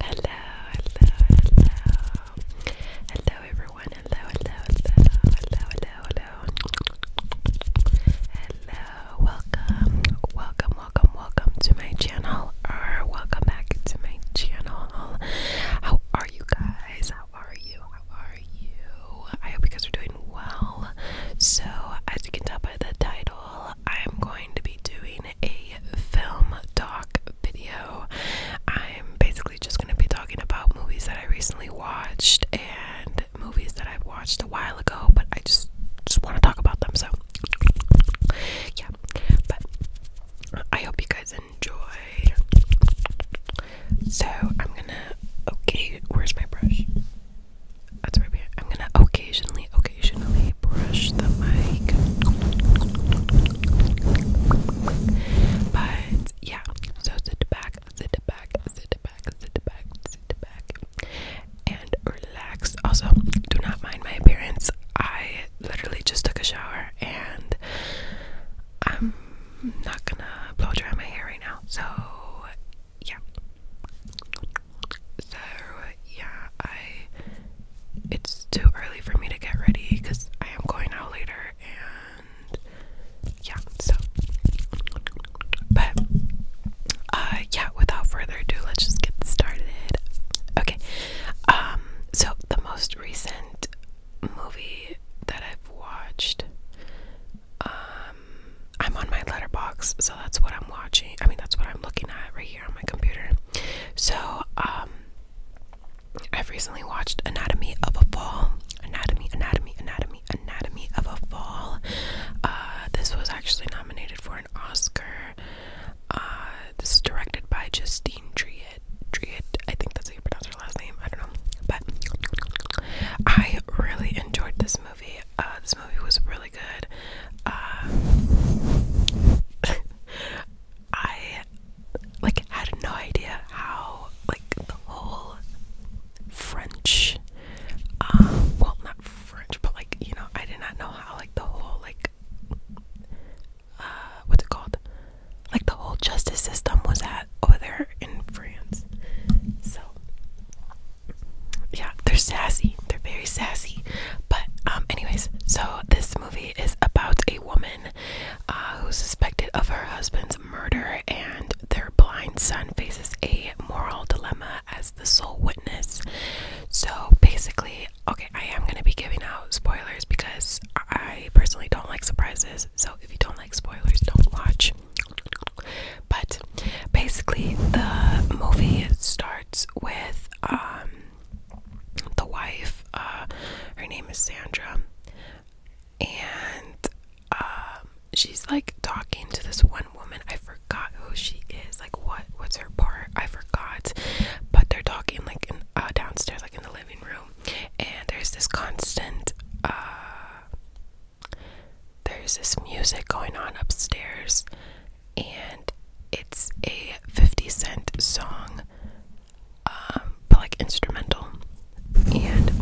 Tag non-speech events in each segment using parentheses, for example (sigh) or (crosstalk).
Hello, hello, hello. Hello everyone. Hello, hello, hello, hello, hello, hello. Hello, welcome, welcome, welcome, welcome to my channel. Or welcome back to my channel. How are you guys? How are you? How are you? I hope you guys are doing well. So as you can tell by the title I'm going to be doing a film doc video. I'm basically just going to be talking about movies that I recently watched and movies that I've watched a while ago, but I just just want to talk about them. So, yeah. But I hope you guys enjoy. So, I'm going to Okay, where's my brush? That's right I'm gonna occasionally, occasionally brush the mic. But yeah, so sit back, sit back, sit back, sit back, sit back, and relax. Also, do not mind my appearance. I literally just took a shower and I'm not gonna blow dry my hair right now. So yeah. So yeah, I it's too early for me to get ready because I am going out later and yeah, so but uh yeah, without further ado, let's just get started. Okay. Um so the most recent movie that I've watched um I'm on my letterbox, so that's what I'm watching. I mean, that's what I'm looking at right here on my computer. So, um, I've recently watched Anatomy of a Fall. Anatomy, Anatomy, Anatomy, Anatomy of a Fall. Uh, this was actually nominated for an Oscar. Uh, this is directed by Justine Triet. Triet, I think that's how you pronounce her last name. I don't know. But I really enjoyed this movie. Uh, this movie was really good. Uh, (laughs) I like had no idea how like the whole French, uh, well, not French, but like you know, I did not know how like the whole like uh, what's it called? Like the whole justice system was at over there in France. So yeah, they're sassy. They're very sassy. But um, anyways, so this movie is about a woman uh, who's suspected of her husband's murder, and their blind son faces a moral dilemma as the sole witness. So basically, okay, I am gonna be giving out spoilers because I personally don't like surprises. So if you don't like spoilers, don't watch. But basically, the movie starts with um, the wife. Uh, her name is Sandra, and um, she's like talking to this one woman. I forgot who she is. Like what? What's her part? I forgot. But they're talking like in, uh, downstairs, like in the living room, and there's this constant. Uh, there's this music going on upstairs and it's a 50 cent song, um, but like instrumental. And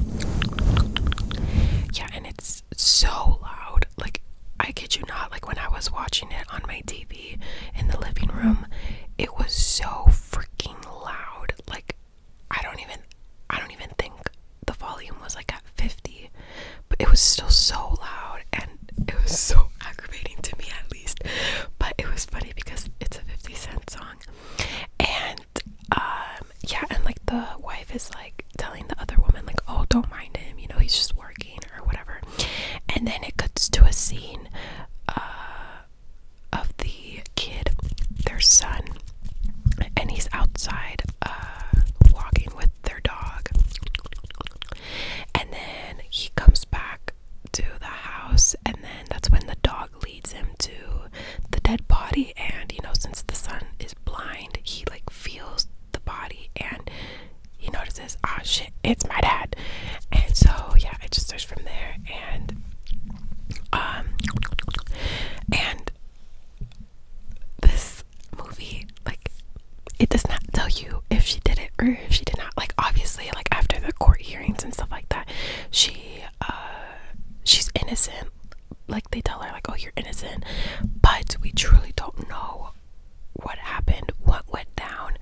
yeah, and it's so loud. Like, I kid you not, like when I was watching it on my TV in the living room, it was so freaking loud. Like, I don't even, I don't even think the volume was like at 50 but it was still so loud and it was so (laughs) aggravating to me at least but it was funny because it's a 50 cent song and um, yeah and like the wife is like telling the other woman like oh don't mind him you know he's just working or whatever and then it cuts to a scene uh, of the kid their son and he's outside uh, walking with their dog and then he comes back to the house, and then that's when the dog leads him to the dead body. And you know, since the sun is blind, he like feels the body and he notices, ah, oh, shit, it's my dad. And so, yeah, I just searched from there, and um, and this movie like it does not tell you if she did it or if she did not like obviously like after the court hearings and stuff like that she uh she's innocent like they tell her like oh you're innocent but we truly don't know what happened what went down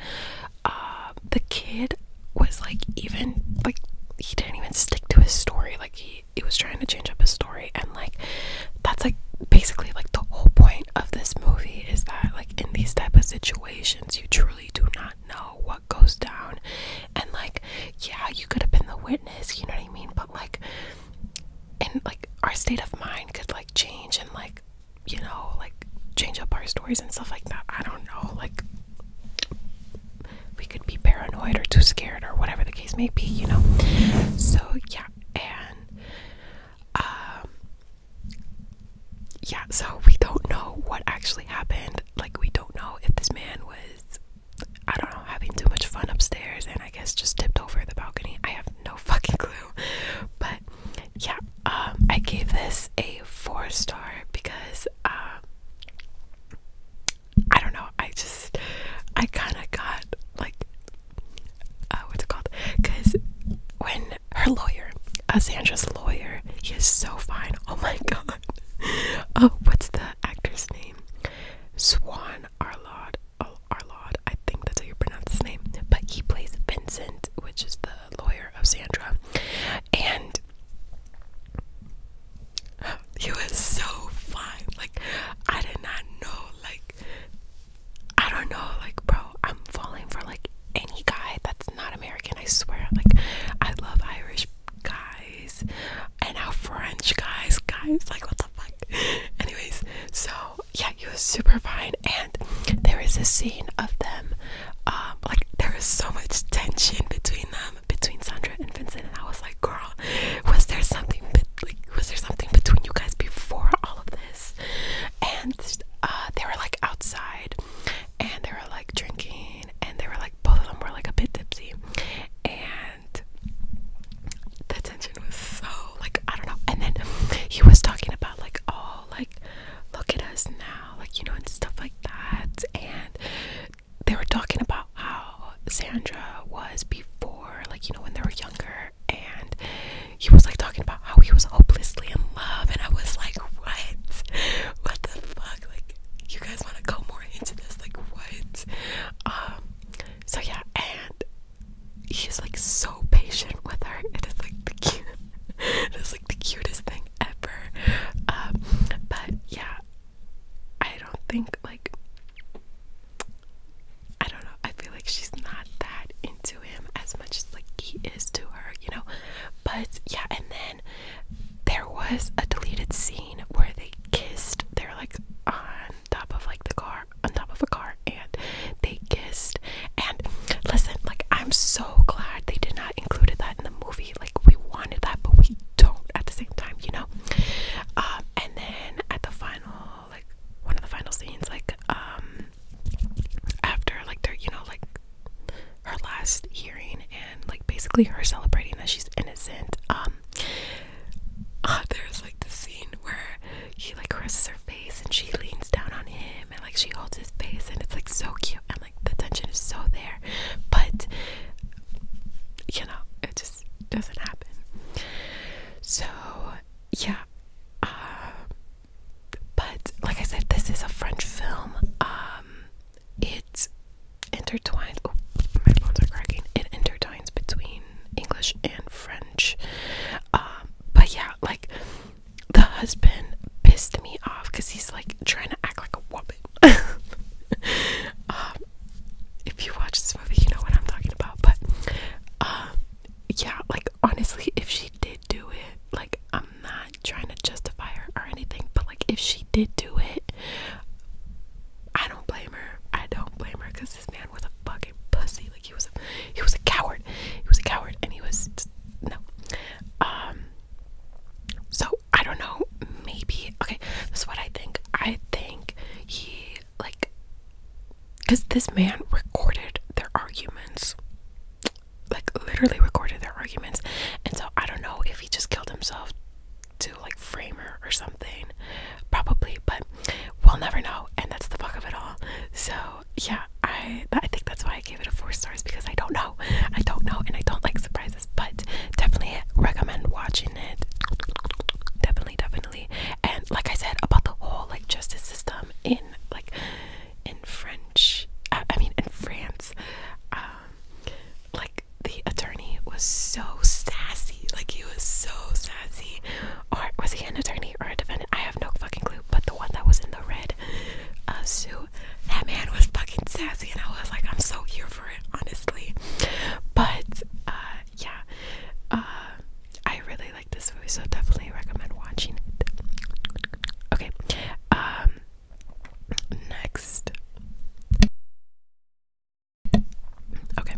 uh the kid was like even like he didn't even stick to his story like he he was trying to change up his story and like that's like basically like the whole point of this movie is that like in these type of situations you truly do not know what goes down and like yeah you could have been the witness you know what i mean but like and like our state of mind could like change and like you know like change up our stories and stuff like that i don't know like we could be paranoid or too scared or whatever the case may be you know so yeah and um, yeah, so we don't know what actually happened. Like, we don't know if this man was, I don't know, having too much fun upstairs and I guess just tipped over the balcony. I have no (laughs) fucking clue. But yeah, um, I gave this a four star because, um, I don't know, I just, I kind of got like uh, what's it called? Because when her lawyer, uh, Sandra's lawyer, he is so fine. Oh my (laughs) god. Oh, what's the actor's name? Swan Arlod. Oh, I think that's how you pronounce his name. But he plays Vincent, which is the lawyer of Sandra. And (gasps) he was so fine. Like I did not know like I don't know, like, bro, I'm falling for like any guy that's not American. I swear, like, I love Irish guys and now French guys, guys, like, what the fuck? (laughs) Anyways, so yeah, he was super fine, and there is a scene of them, um, like, there is so much tension between them, between Sandra and Vincent, and I was like, girl, was there something, like, was there something between you guys before all of this? and uh, they were like outside and they were like drinking and they were like both of them were like a bit tipsy and the tension was so like I don't know and then he was talking about like oh like look at us now like you know and stuff like that and they were talking about how Sandra was before like you know when they were younger and he was like talking about how he was hopelessly in love and I was like what what the fuck like you guys want to go more into this like what um so yeah and he's like so patient with her it is like the cute (laughs) it is like the cutest thing ever um but yeah I don't think like I don't know I feel like she's not that into him as much as like he is to her, you know. But yeah, and then there was a deleted scene where they kissed. They're like on top of like the car, on top of a car, and they kissed. And listen, like I'm so glad they did not include that in the movie. Like we wanted that, but we don't at the same time, you know. Um, and then at the final, like one of the final scenes, like um, after like their you know like her last hearing and like basically her celebrating that she's innocent um (laughs) there's like the scene where he like caresses her face and she leans down on him and like she holds his face and it's like so cute and like the tension is so there but you know it just doesn't happen so yeah uh, but like I said, this is a French film. Um, it's intertwined. Oh, my bones are cracking. It intertwines between English and French. Um, but yeah, like the husband pissed me off because he's like trying to act like a woman. (laughs) um, if you watch this movie, you know what I'm talking about. But um, yeah, like honestly, if she did do it, like I'm not trying to justify her or anything, but like if she did do it, I don't blame her. I don't blame her because this man was a fucking pussy. Like he was a he was a coward. He was a coward and he was no. Um so I don't know, maybe okay, this is what I think. I think he like because this man recorded their arguments like literally recorded their arguments and so I don't know if he just killed himself to like frame her or something probably but we'll never know and that's the fuck of it all so yeah I I think that's why I gave it a four stars because I don't know I don't know and I don't like surprises but definitely recommend watching it definitely definitely and like I said about the whole like justice system in like in French I mean, in France, um, like the attorney was so sassy. Like he was so sassy. Or was he an attorney or a defendant? I have no fucking clue. But the one that was in the red uh, suit, that man was fucking sassy, and I was like, I'm so here for it, honestly. But uh, yeah, uh, I really like this movie, so definitely recommend watching it. Okay, um, next. Okay,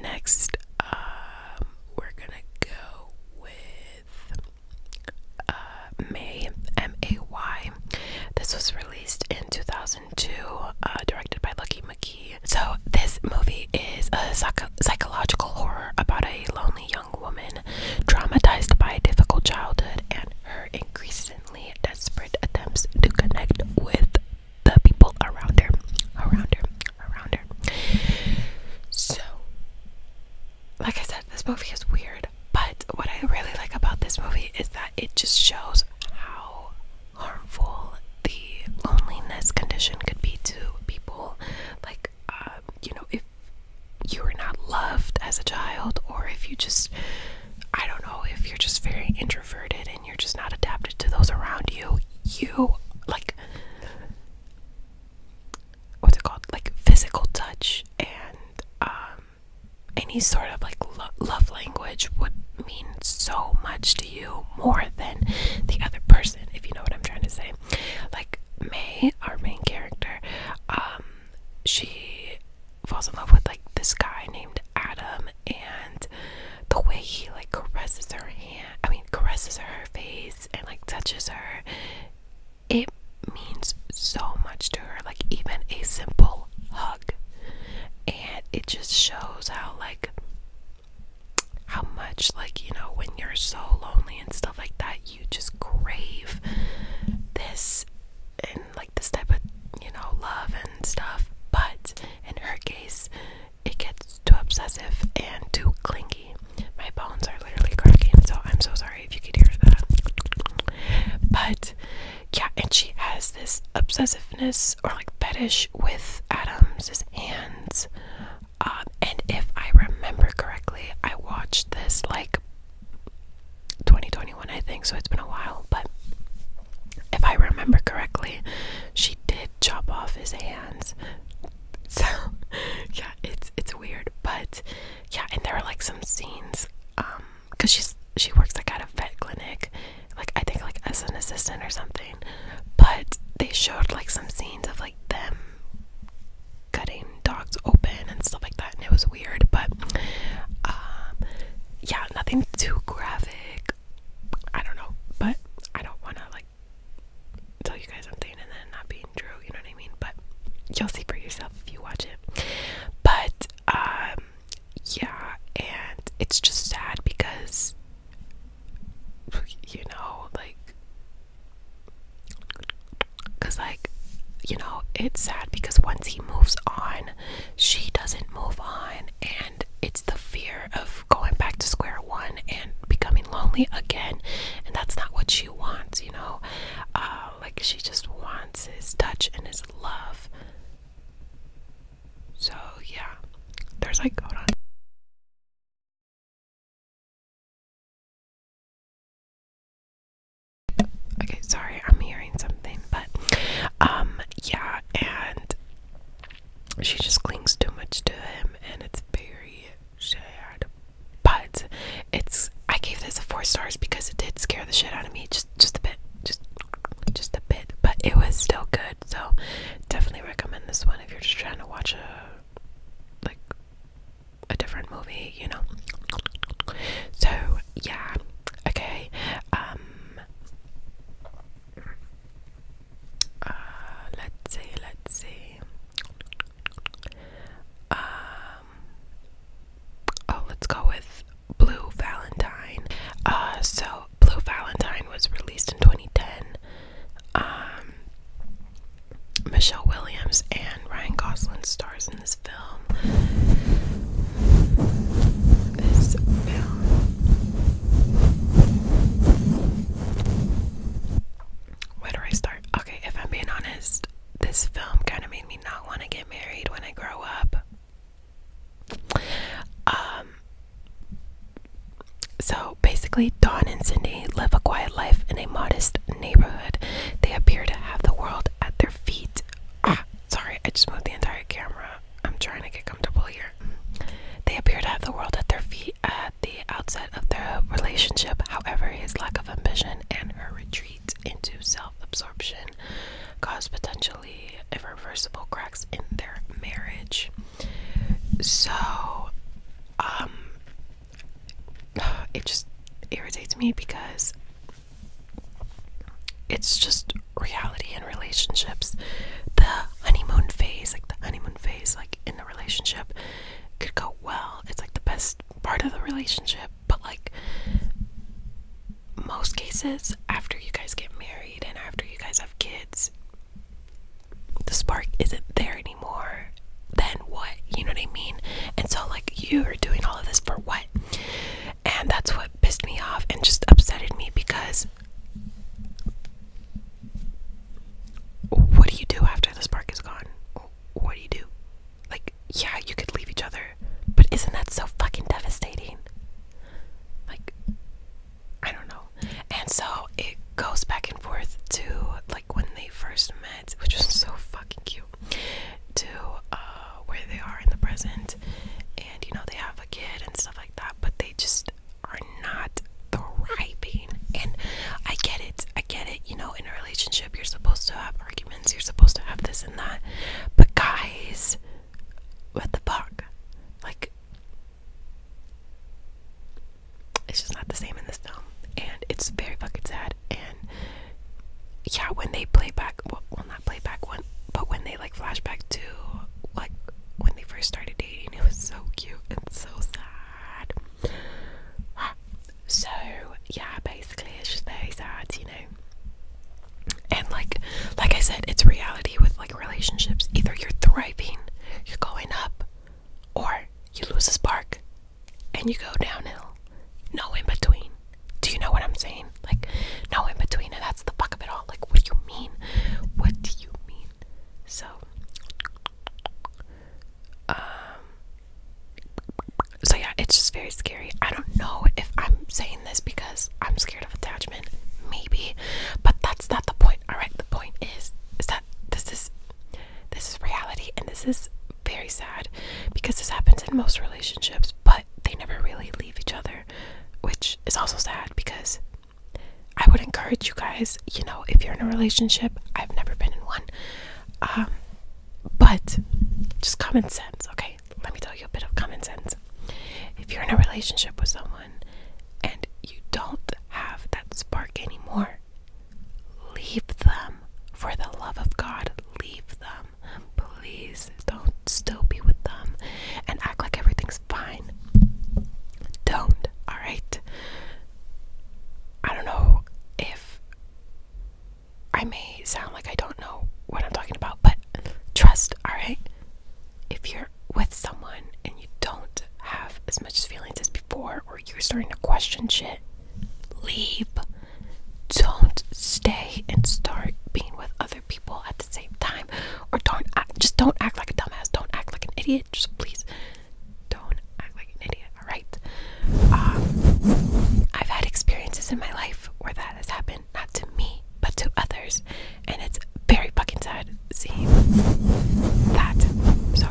next, um, we're gonna go with uh, May M A Y. This was released in 2002, uh, directed by Lucky McKee. So, this movie is a psych psychological horror about a lone young woman, traumatized by a difficult childhood and her increasingly desperate attempts to connect with the people around her, around her, around her. So, like I said, this movie is weird, but what I really like about this movie is that it just shows how harmful the loneliness condition could be to people. Like, um, you know, if you were not loved as a child, or if you just, I don't know, if you're just very introverted and you're just not adapted to those around you, you like what's it called? Like physical touch and um, any sort of like love language would mean so much to you more than the other person, if you know what I'm trying to say. Like May, our main character, um, she falls in love with like this guy named Adam, and the way he like caresses her hand, I mean, caresses her face and like touches her, it means so much to her. Like, even a simple hug, and it just shows how like how much like you know when you're so lonely and stuff like that you just crave this and like this type of you know love and stuff but in her case it gets too obsessive and too clingy my bones are literally cracking so i'm so sorry if you could hear that but yeah and she has this obsessiveness or like fetish with adam's hands um, and if I remember correctly, I watched this like 2021, I think, so it's been a while. But if I remember correctly, she did chop off his hands. (laughs) So yeah, it's it's weird, but yeah, and there are like some scenes, um, cause she's she works like at a vet clinic, like I think like as an assistant or something. But they showed like some scenes of like them cutting dogs open and stuff like that, and it was weird. But um, yeah, nothing too graphic. I don't know, but I don't want to like tell you guys something and then not being true. You know what I mean? But you'll see for yourself if you watch it. But um, yeah, and it's just sad because you know, like Cause like, you know, it's sad because once he moves on, she doesn't move on and it's the fear of going back to square one and becoming lonely again and that's not what she wants, you know. Uh, like she just wants his touch and his love. So yeah. There's like hold on. Okay, sorry, I'm hearing something, but um, yeah, and she just clings too much to him, and it's very sad. But it's I gave this a four stars because it did scare the shit out of me just just a bit, just just a bit, but it was still good. So definitely recommend this one if you're just trying to watch a like a different movie, you know. So yeah, okay. Um uh, let's see, let's see. Um oh let's go with Blue Valentine. Uh so Blue Valentine was released in 2010. Michelle Williams and Ryan Gosling stars in this film. This film. Where do I start? Okay, if I'm being honest, this film kind of made me not want to get married when I grow up. Um. So basically, Dawn and Cindy live a quiet life in a modest neighborhood. They appear to have the world at their feet. Ah, sorry, I just moved the entire camera. I'm trying to get comfortable here. They appear to have the world at their feet at the outset of their relationship. However, his lack of ambition and her retreat into self absorption caused potentially irreversible cracks in their marriage. So, um, (sighs) it just irritates me because it's just reality in relationships. The honeymoon phase, like the honeymoon phase, like in the relationship, could go well. It's like the best part of the relationship, but like most cases, after you guys get married and after you guys have kids, the spark isn't there anymore then what? You know what I mean? And so, like, you are doing all of this for what? And that's what pissed me off and just upsetted me because what do you do after the spark is gone? What do you do? Like, yeah, you could leave each other, but isn't that so fucking devastating? Like, I don't know. And so it goes back and forth to like when they first met which is so fucking cute, to uh, where they are in the present. And you know, they have a kid and stuff like that, but they just are not thriving. And I get it, I get it. You know, in a relationship, you're supposed to have arguments, you're supposed to have this and that. But guys, what the fuck? Like, it's just not the same in this film, and it's very fucking sad and yeah when they play back well, not play back when but when they like flashback to like when they first started dating it was so cute and so sad so yeah basically it's just very sad you know and like like i said it's reality with like relationships either you're thriving you're going up or you lose a spark and you go downhill. No in between. Do you know what I'm saying? Like, no in between, and that's the fuck of it all. Like, what do you mean? What do you mean? So, um, so yeah, it's just very scary. I don't know if I'm saying this because I'm scared of attachment, maybe, but that's not the point. All right, the point is, is that this is, this is reality, and this is very sad because this happens in most relationships, but they never really leave each other, which is also sad because I would encourage you guys, you know, if you're in a relationship, I've never been in one. Um, but just common sense, okay? Let me tell you a bit of common sense. If you're in a relationship with someone and you don't have that spark anymore, leave them for the love of God leave them. Please don't still be with them and act like everything's fine. Don't, alright? I don't know if I may sound like I don't know what I'm talking about, but trust, alright? If you're with someone and you don't have as much feelings as before, or you're starting to question shit, leave don't stay and start being with other people at the same time or don't act, just don't act like a dumbass don't act like an idiot just please don't act like an idiot all right um, i've had experiences in my life where that has happened not to me but to others and it's very fucking sad seeing that so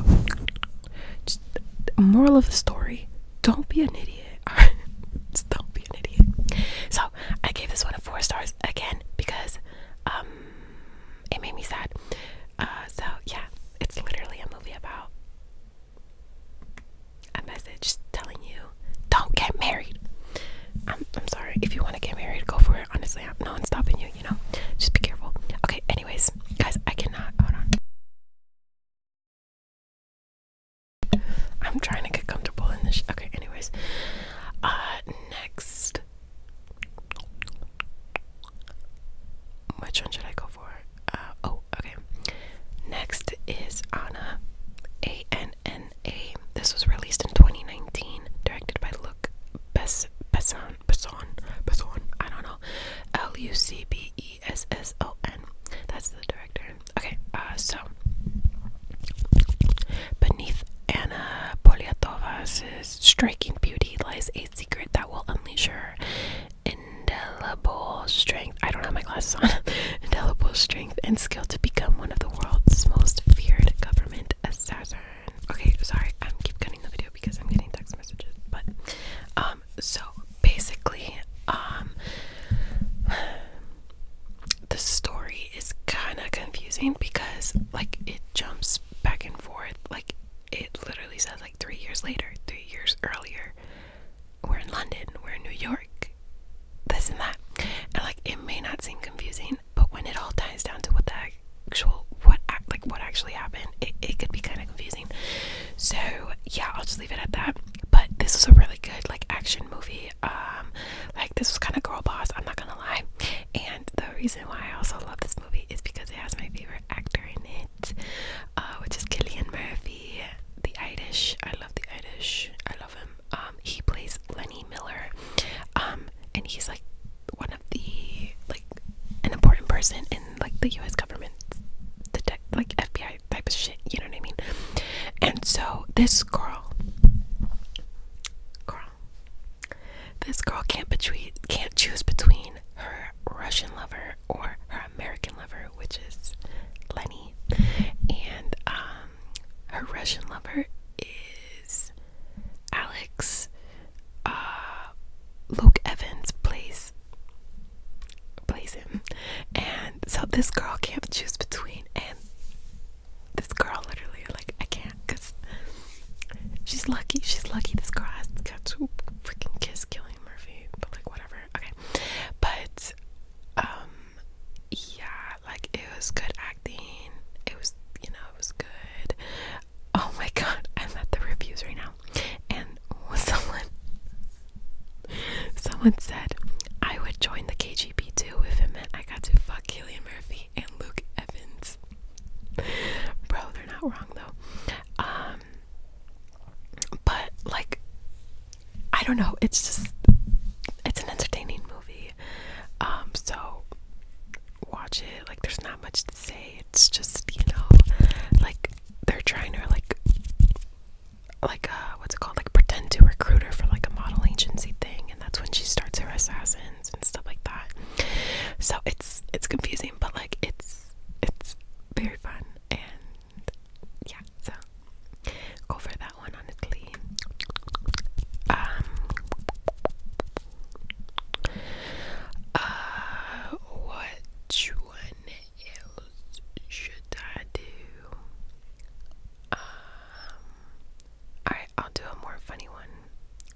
just the moral of the story don't be an idiot (laughs) idiot. do an idiot. So I gave this one a four stars again because um, it made me sad. Uh, so yeah, it's literally a movie about a message telling you don't get married. I'm um, I'm sorry, if you want to get married, go for it. Honestly, I'm, no one's stopping you, you know. Just be careful. Okay, anyways, guys, I cannot hold on. I'm trying to get comfortable in this. Okay, anyways. Uh, next. Which one should I go for? Uh, oh, okay. Next is Anna, A N N A. This was released in 2019, directed by Luc Besson. Besson. Besson. I don't know. L U C B E. E S S O N. That's the director. Okay, uh, so beneath Anna Polyatovas' striking beauty lies a secret that will unleash her indelible strength. I don't have my glasses on. (laughs) indelible strength and skill to become one of the world's most feared government assassins. Okay, sorry, I keep cutting the video because I'm getting text messages, but um, so basically, um, (sighs) the story is kind of confusing because, like, it jumps back and forth. Like, it literally says, like, three years later, three years earlier, we're in London, we're in New York, this and that. And, like, it may not seem confusing, but when it all ties down to what the actual, what, like, what actually happened, it, it could be kind of confusing. So, yeah, I'll just leave it at that but this was a really good like action movie um, like this was kind of girl boss i'm not gonna lie and the reason why i also love this movie is because it has my favorite actor in it uh, which is Killian Murphy the Irish i love the Irish i love him um, he plays Lenny Miller um, and he's like one of the like an important person in like the US government the like FBI type of shit, you know what I mean? And so this girl, girl, this girl can't between can't choose between her Russian lover or her American lover, which is Lenny, and um, her Russian lover is Alex. Uh, Luke Evans plays plays him. And so this girl can't choose between, and this girl literally, like, I can't because she's lucky. She's lucky this girl has got to freaking kiss Killing Murphy, but like, whatever. Okay. But, um, yeah, like, it was good acting. It was, you know, it was good. Oh my (laughs) god, I'm at the reviews right now. And (laughs) someone Someone said I would join the KGB too if it meant I got to fuck Killian Murphy and Luke Evans. Bro, they're not wrong though. Um, but like, I don't know. It's just it's an entertaining movie. Um, so watch it. Like, there's not much to say. It's just you know, like they're trying to like like a, uh, what's it called like pretend to recruit her for like a model agency thing and that's when she starts her assassins and stuff like that so it's it's confusing but like it's it's very fun and yeah so go for that one honestly um uh what you want should I do? Um, I'll do a more funny one.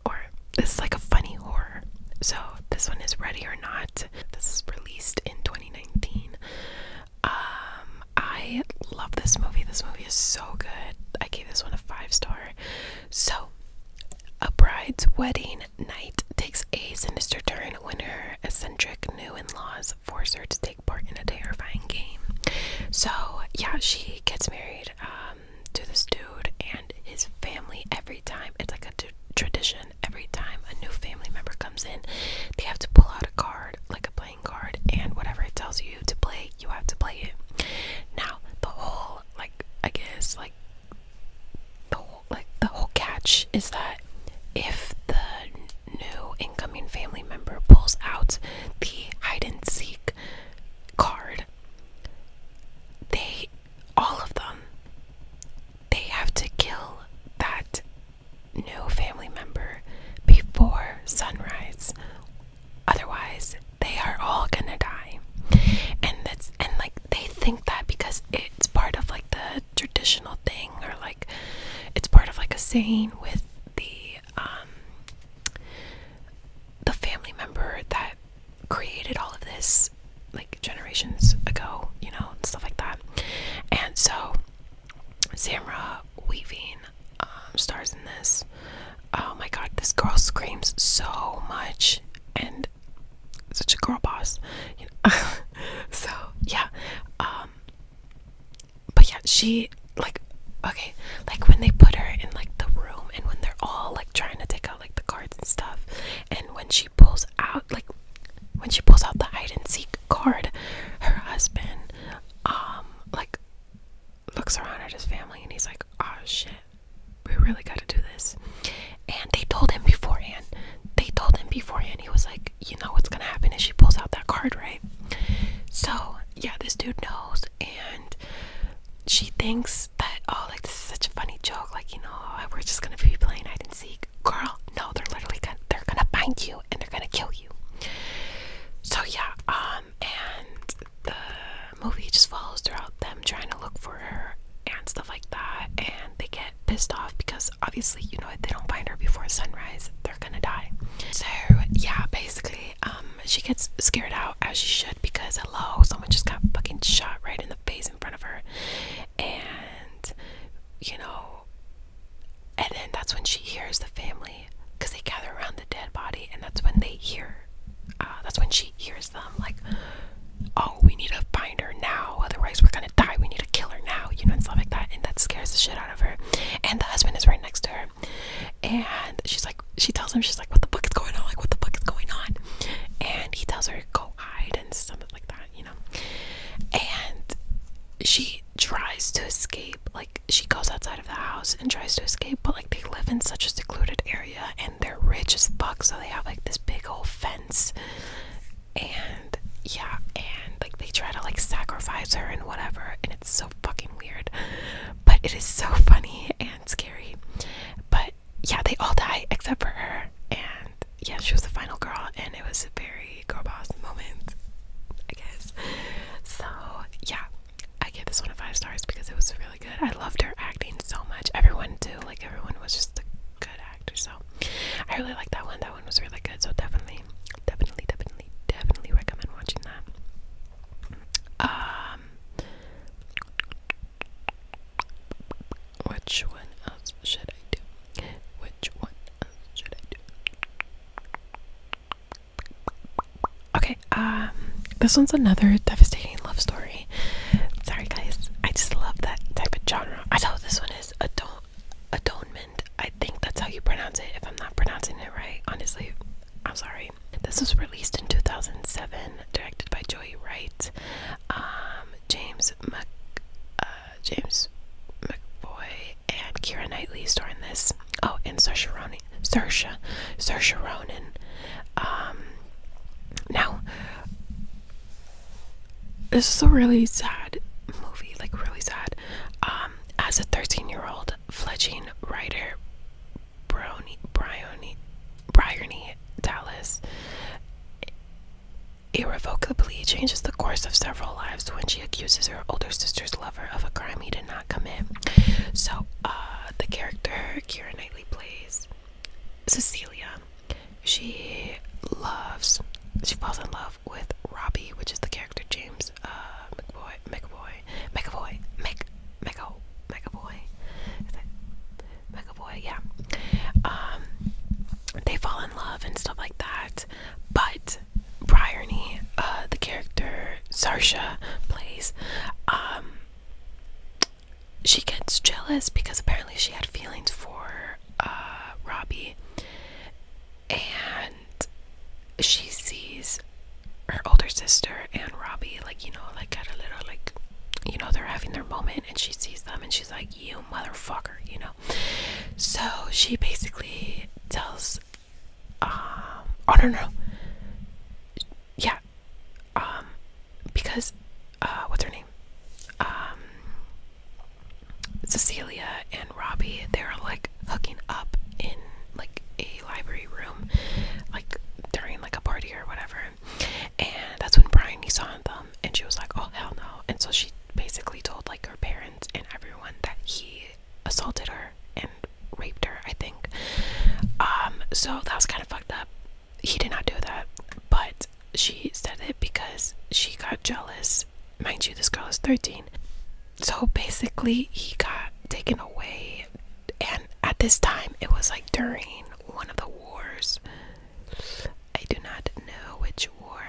Or this is like a funny horror. So this one is Ready or Not. This is released in 2019. Um, I love this movie. This movie is so good. I gave this one a five star. So, a bride's wedding night takes a sinister turn when her eccentric new in laws does force her to take part in a terrifying game. So, yeah, she gets married um, to this dude and his family every time. It's like a tradition. Every time a new family member comes in, they have to pull out a card, like a playing card, and whatever it tells you to play, you have to play it. Now, the whole, like, I guess, like, the whole, like the whole catch is that if the new incoming family member pulls out the hide and seek card, they, all of them, they have to kill that new family member before sunrise. Otherwise, they are all gonna die. And that's and like they think that because it's part of like the traditional thing or like it's part of like a saying with the um the family member that created all of this like generations ago, you know, and stuff like that. And so Samra Weaving um, stars in this. Oh my god, this girl screams so much and such a girl boss. (laughs) so yeah, um, but yeah, she like okay, like when they put her in like the room and when they're all like trying to take out like the cards and stuff, and when she pulls out like when she pulls out the hide and seek card, her husband um like looks around at his family and he's like, Oh shit, we really gotta do this. And they told him beforehand. They told him beforehand. He was like, you know what's gonna happen is she pulls out that card, right? So, yeah, this dude knows, and she thinks that, oh, like, this is such a funny joke. Like, you know, oh, we're just gonna be playing hide and seek. Girl, no, they're literally gonna, they're gonna find you and they're gonna kill you. So, yeah, um, and the movie just follows throughout them trying to look for her and stuff like that, and they get pissed off because obviously, you know, what they don't find her before sunrise, they're gonna die. So, yeah, basically, um, she gets scared out as she should because, hello, someone just got fucking shot right in the face in front of her. And, you know, and then that's when she hears the family because they gather around the dead body, and that's when they hear, uh, that's when she hears them like, oh, we need to find her now, otherwise, we're gonna die, we need to kill her now, you know, and stuff like that. And that scares the shit out and the husband is right next to her. And she's like, she tells him, she's like, "What the fuck is going on? Like, what the fuck is going on?" And he tells her, "Go hide," and something like that, you know. And she tries to escape. Like, she goes outside of the house and tries to escape, but like they live in such a secluded area, and they're rich as fuck, so they have like this big old fence. And yeah, and like they try to like sacrifice her and whatever, and it's so fucking weird. But it is so funny and scary. But yeah, they all die except for her. And yeah, she was the final girl, and it was a very girl boss moment, I guess. So yeah, I give this one a five stars because it was really good. I loved her acting so much. Everyone too, like everyone was just a good actor. So I really like that one. That one was really good. So definitely, definitely, definitely definitely, definitely recommend watching that. Um, which one else should I do? Which one should I do? Okay, um, this one's another devastating love story. Sorry, guys, I just love that type of genre. I know this one is adult atonement. I think that's how you pronounce it. If I'm not pronouncing it right, honestly, I'm sorry. This was released in 2007, directed by Joey Wright, um, James Mc, uh, and Kira Knightley starring this. Oh, and Saoirse Ronan. Saoirse, Saoirse Ronan. Um, now, this is a really sad movie, like really sad. Um, as a 13 year old, Fledgling writer Brony, Bryony, Bryony Dallas irrevocably changes the course of several lives when she accuses her older sister's lover of a crime he did not commit. So, uh, the character Kira Knightley plays Cecilia. She loves, she falls in love with Robbie, which is the character James uh, McBoy, McAvoy, McAvoy, Mc, McAvoy, McAvoy, Yeah. Um, they fall in love and stuff like that. But Bryony, uh, the character Sarsha plays, um, she gets jealous because apparently she had feelings for uh, Robbie and she sees her older sister and Robbie, like, you know, like at a little, like, you know, they're having their moment, and she sees them and she's like, You motherfucker, you know. So she basically tells, um, don't oh, know, yeah, um, because, uh, what's her name? Um, Cecilia and Robbie, they were like hooking up in like a library room, like during like a party or whatever. And that's when Bryony saw them, and she was like, "Oh hell no!" And so she basically told like her parents and everyone that he assaulted her and raped her. I think. Um. So that was kind of fucked up. He did not do that, but she said it because she got jealous. Mind you, this girl is 13 so basically he got taken away and at this time it was like during one of the wars i do not know which war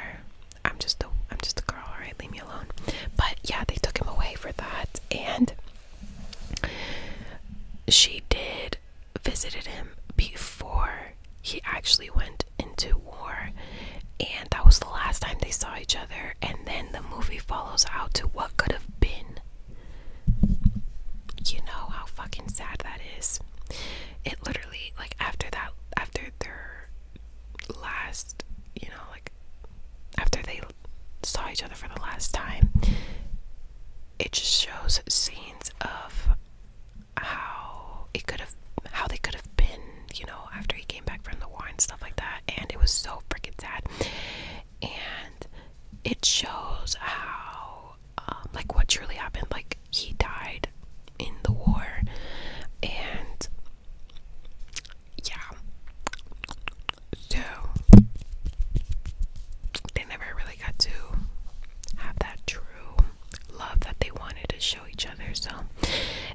i'm just a i'm just a girl all right leave me alone but yeah they took him away for that and she did visited him before he actually went into war and that was the last time they saw each other. And then the movie follows out to what could have been. You know how fucking sad that is. It literally, like, after that, after their last, you know, like, after they saw each other for the last time, it just shows scenes of how it could have, how they could have been you know, after he came back from the war and stuff like that. And it was so freaking sad. And it shows how, um, like, what truly happened. Like, he died in the war. And yeah. So they never really got to have that true love that they wanted to show each other. So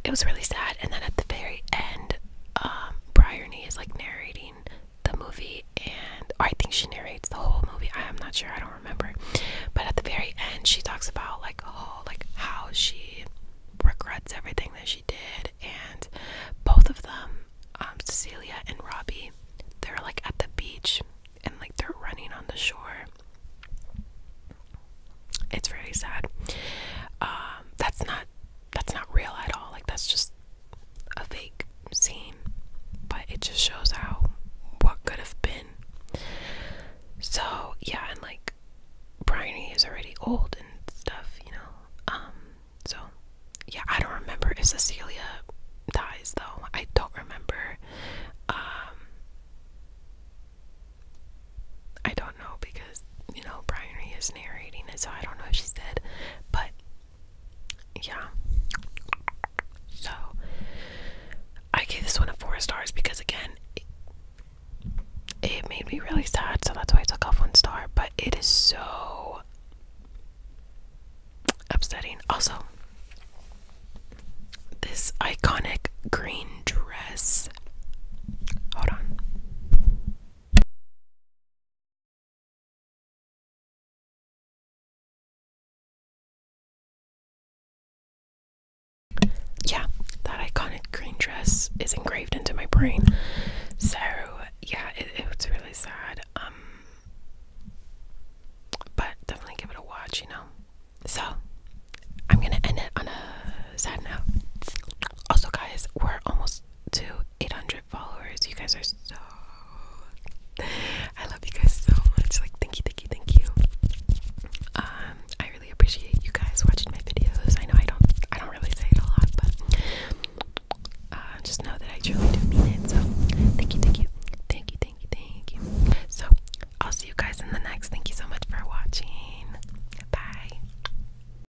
it was really sad. And then at the very end, um, Bryony is like narrating the movie, and I think she narrates the whole movie. I am not sure. I don't remember. But at the very end, she talks about like oh, like how she regrets everything that she did, and both of them, um, Cecilia and Robbie, they're like at the beach, and like they're running on the shore. It's very sad. Um, that's not that's not real at all. Like that's just a fake scene. But it just shows how what could have been. So yeah, and like Bryony is already old and stuff, you know. Um, so yeah, I don't remember if Cecilia dies though. I don't remember. Um I don't know because you know, Brian is narrating it, so I don't know if she's dead, but yeah. So I gave this one a four stars because again, it, it made me really sad, so that's why I took off one star. But it is so upsetting. Also, this iconic green dress. Hold on. Yeah, that iconic green dress is engraved into my brain. So yeah, it, it's really sad. Um, but definitely give it a watch, you know. So I'm gonna end it on a sad note. Also, guys, we're almost almost to 800 followers. You guys are so. I love you guys so much. Like, thank you, thank you, thank you. Um, I really appreciate you guys watching my videos. I know I don't, I don't really say it a lot, but uh, just know that I truly do mean it. So, thank you, thank you, thank you, thank you, thank you. So, I'll see you guys in the next. Thank you so much for watching. Bye.